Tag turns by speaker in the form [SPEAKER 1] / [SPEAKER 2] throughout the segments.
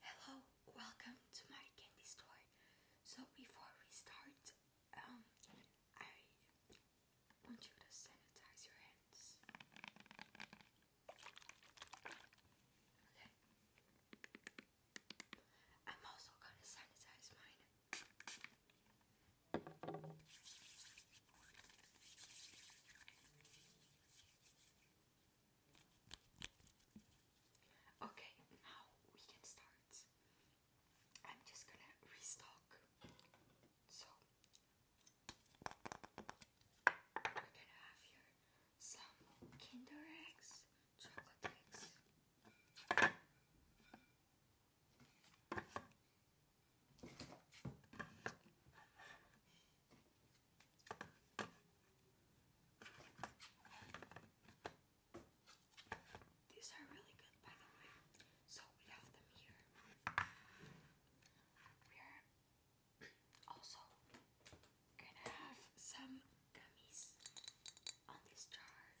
[SPEAKER 1] Hello, welcome to my candy store. So before we start, um, I want you to sanitize your hands. Okay. I'm also gonna sanitize mine. Okay, now we can start. I'm just gonna restock. So, we're gonna have here some Kinder Eggs, chocolate eggs. These are really good, by the way. So we have them here. We're also gonna have some gummies on these jars.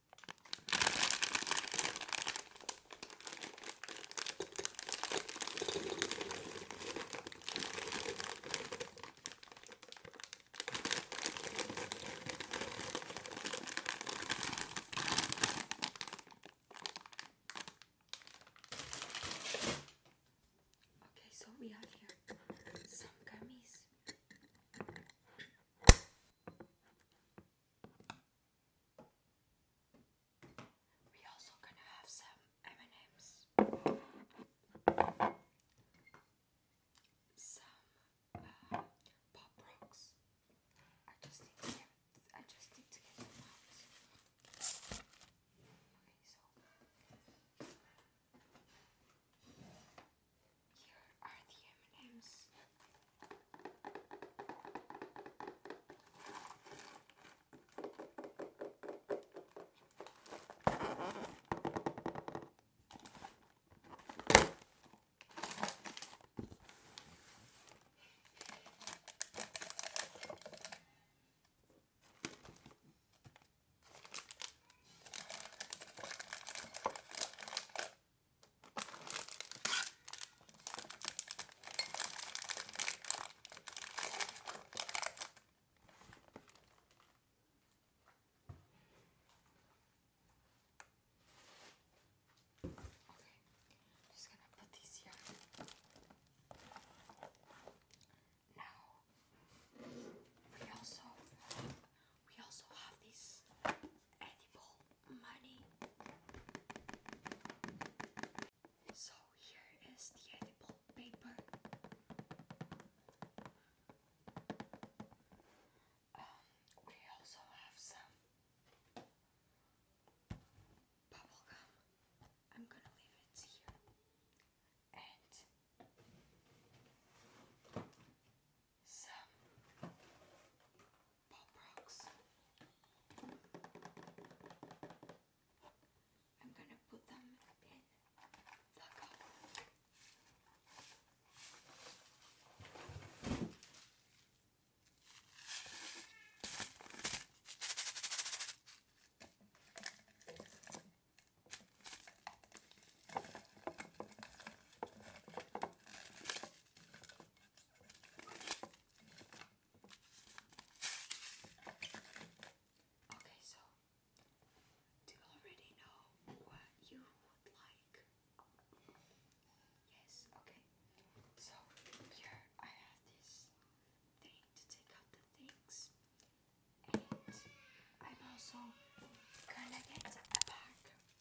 [SPEAKER 1] Okay, so we have here some gummies. We also gonna have some M&Ms, some uh, pop rocks. I just need to get, I just need to get them out. Okay, so. Here are the M&M's. Okay, just gonna put these here. Now we also we also have this edible money. So here is the edible paper. Um, we also have some bubble I'm gonna leave it here. And some Pop I'm gonna put them in the cup. Okay, so do you already know what you would like? Yes, okay. So here I have this thing to take out the things, and I'm also gonna get a bag.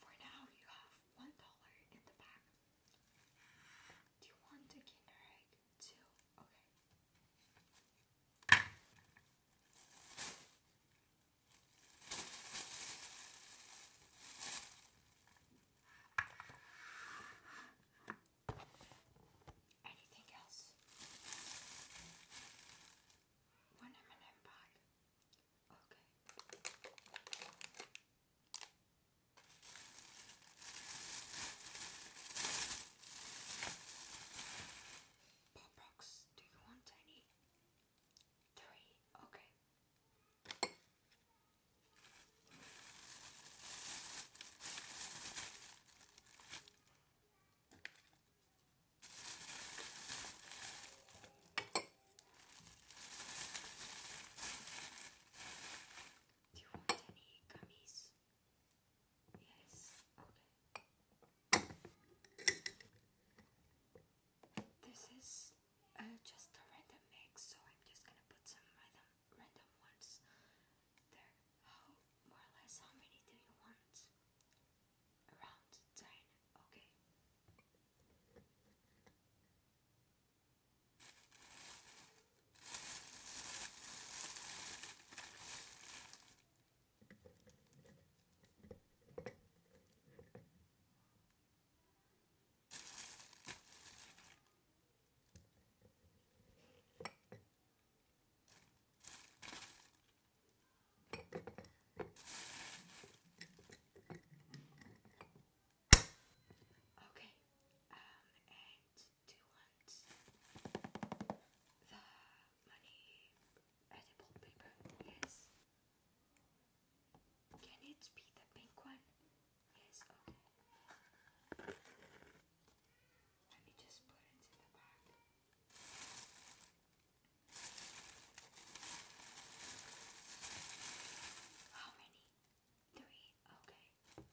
[SPEAKER 1] For now, you have one dollar in the bag. Do you want a Kinder Egg too? Okay. Anything else? One M&M bag. Okay. Pop rocks, do you want any? Three, okay. Do you want any gummies? Yes, okay. This is uh, just a random mix, so I'm just gonna put some random, ones there. How, more or less, many do you want? around the okay? Okay, um, and do you want the money edible uh, paper? Yes. Can it be the pink one? Yes, okay. Let me just put it in the bag. How many? Three. Okay. Okay.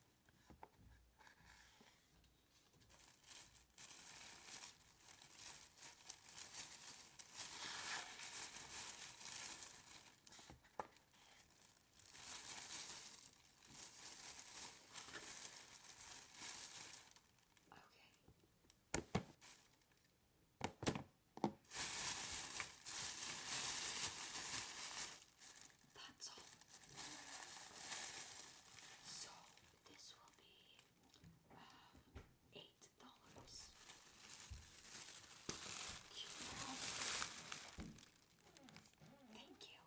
[SPEAKER 1] That's all. So this will be uh, eight dollars. Thank you.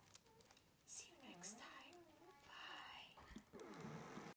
[SPEAKER 1] See you next time. Bye.